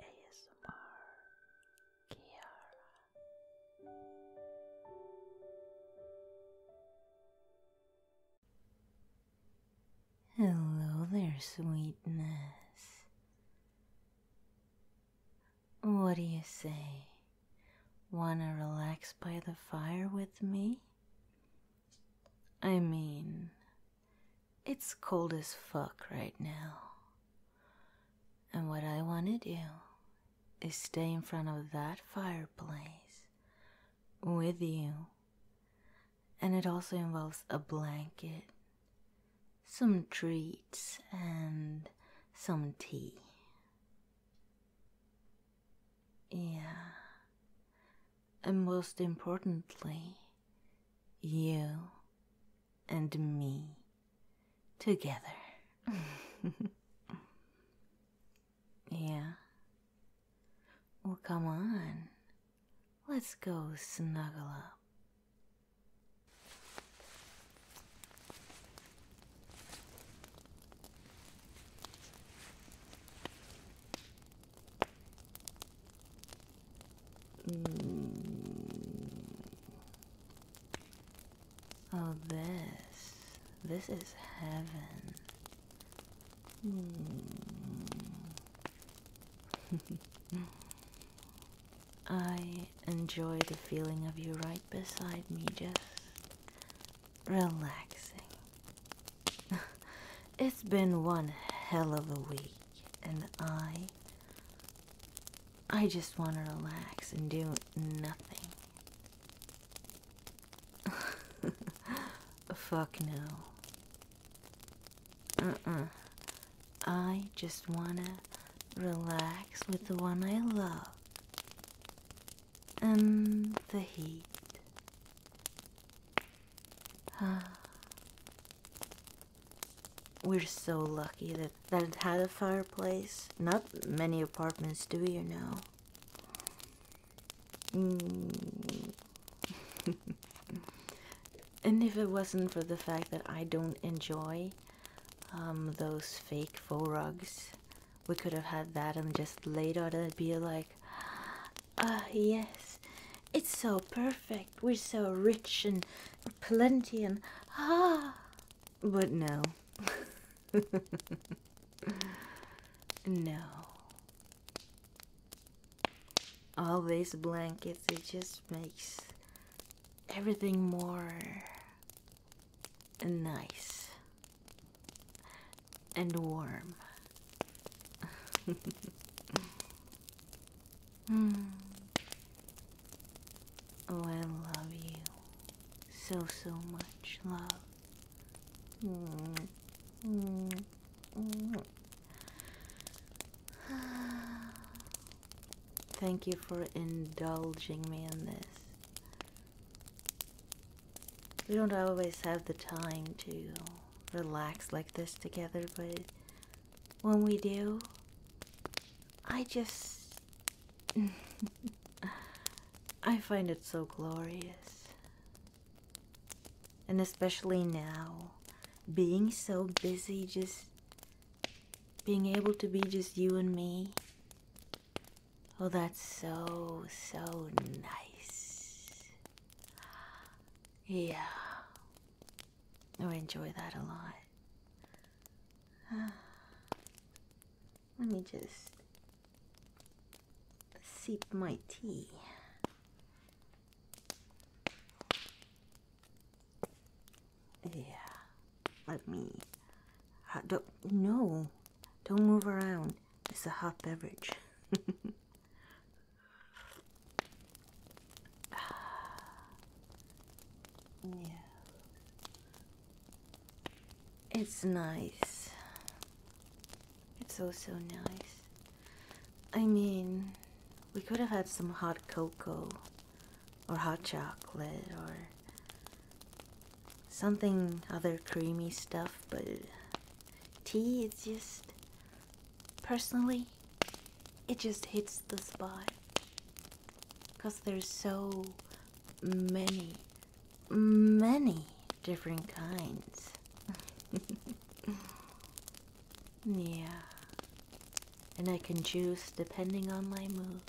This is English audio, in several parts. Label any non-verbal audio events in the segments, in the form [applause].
ASMR Kiara Hello there, sweetness. What do you say? Wanna relax by the fire with me? I mean, it's cold as fuck right now. And what I want to do is stay in front of that fireplace with you. And it also involves a blanket, some treats, and some tea. Yeah, and most importantly, you and me together. [laughs] yeah. Well, come on. Let's go snuggle up. Mm. Oh, this. This is heaven. Mm. [laughs] I enjoy the feeling of you right beside me, just relaxing. [laughs] it's been one hell of a week, and I. I just want to relax and do nothing. [laughs] Fuck no. Uh uh. I just want to relax with the one I love. And the heat. Ah. We're so lucky that, that it had a fireplace. Not many apartments do you know. Mm. [laughs] and if it wasn't for the fact that I don't enjoy um, those fake faux rugs we could have had that and just laid that'd be like ah yes it's so perfect we're so rich and plenty and ah but no no all these blankets it just makes everything more nice and warm. [laughs] Hmm. Oh, I love you so, so much, love. [sighs] Thank you for indulging me in this. We don't always have the time to relax like this together, but when we do, I just. [laughs] I find it so glorious. And especially now, being so busy, just being able to be just you and me Oh, that's so, so nice. Yeah. Oh, I enjoy that a lot. [sighs] Let me just sip my tea. Yeah. Let me. Uh, don't, no. Don't move around. It's a hot beverage. [laughs] yeah. It's nice. It's so nice. I mean, we could have had some hot cocoa or hot chocolate or something other creamy stuff, but tea is just personally it just hits the spot because there's so many many different kinds [laughs] yeah and i can choose depending on my mood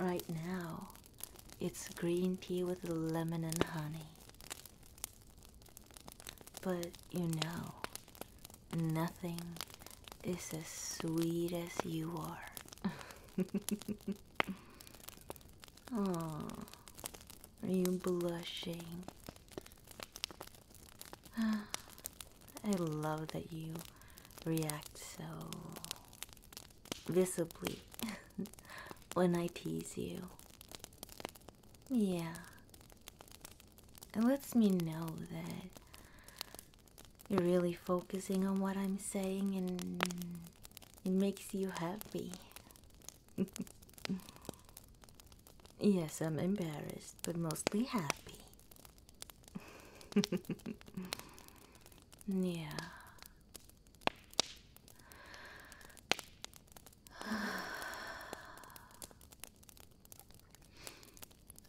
right now it's green tea with lemon and honey. But you know, nothing is as sweet as you are. oh, [laughs] are you blushing? [sighs] I love that you react so visibly [laughs] when I tease you. Yeah. It lets me know that you're really focusing on what I'm saying and it makes you happy. [laughs] yes, I'm embarrassed, but mostly happy. [laughs] yeah. [sighs]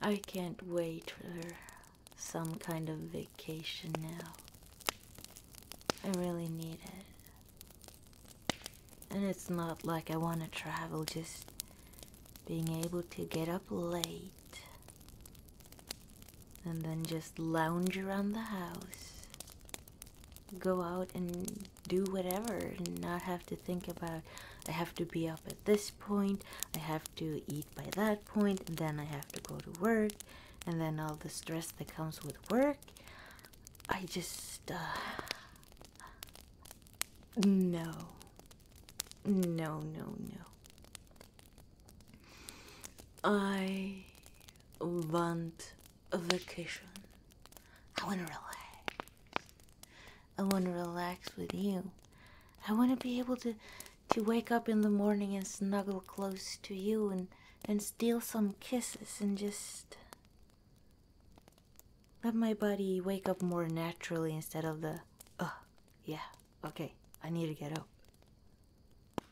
I can't wait for some kind of vacation now. I really need it. And it's not like I want to travel, just being able to get up late and then just lounge around the house. Go out and do whatever and not have to think about I have to be up at this point, I have to eat by that point, point. then I have to go to work, and then all the stress that comes with work. I just. Uh, no. No, no, no. I want a vacation. I want to relax. I want to relax with you. I want to be able to to wake up in the morning and snuggle close to you and and steal some kisses and just let my body wake up more naturally instead of the oh yeah Okay, I need to get up.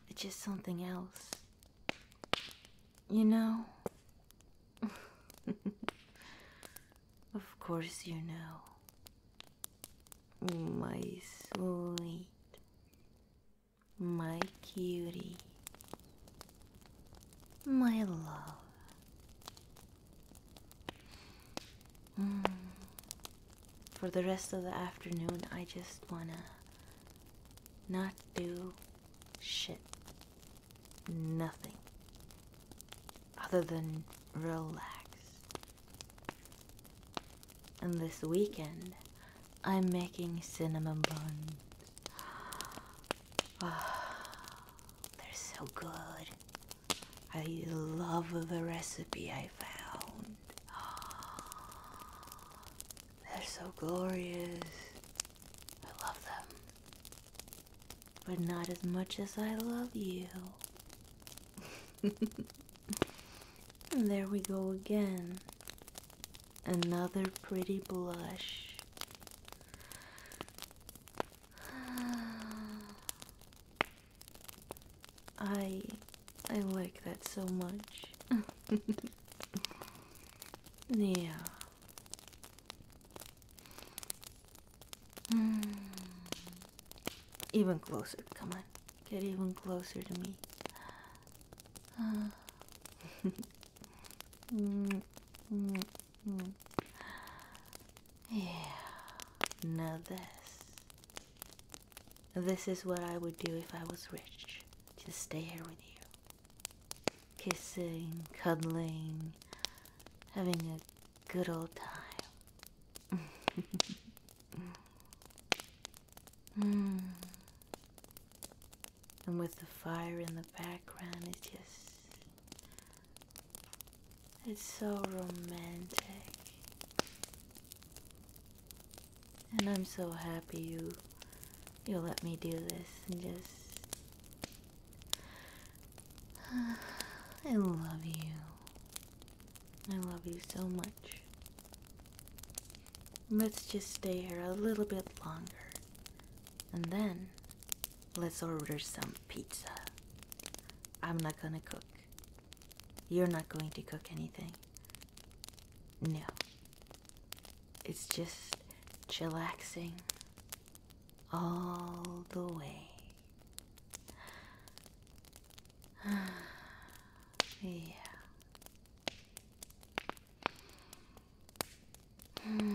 It's just something else. You know? [laughs] of course, you know. My sweet. My cutie. My love. Mm for the rest of the afternoon, I just wanna not do shit. Nothing other than relax. And this weekend, I'm making cinnamon buns. [sighs] they're so good. I love the recipe I found. [gasps] They're so glorious. I love them. But not as much as I love you. [laughs] and there we go again. Another pretty blush. [sighs] [sighs] [sighs] I I like that so much. [laughs] yeah. Hmm. Even closer, come on. Get even closer to me. [laughs] yeah. Now this. This is what I would do if I was rich. Just stay here with you. Kissing, cuddling, having a good old time. [laughs] Hmm. And with the fire in the background, it's just it's so romantic. And I'm so happy you you let me do this and just [sighs] I love you. I love you so much. Let's just stay here a little bit longer. And then let's order some pizza. I'm not gonna cook. You're not going to cook anything. No. It's just chillaxing all the way. [sighs] yeah. Hmm.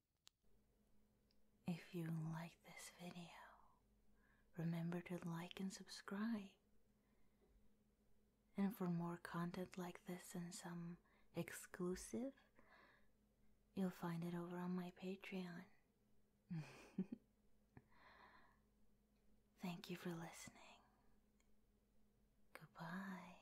If you like this video, remember to like and subscribe. And for more content like this and some exclusive, you'll find it over on my Patreon. [laughs] Thank you for listening. Goodbye.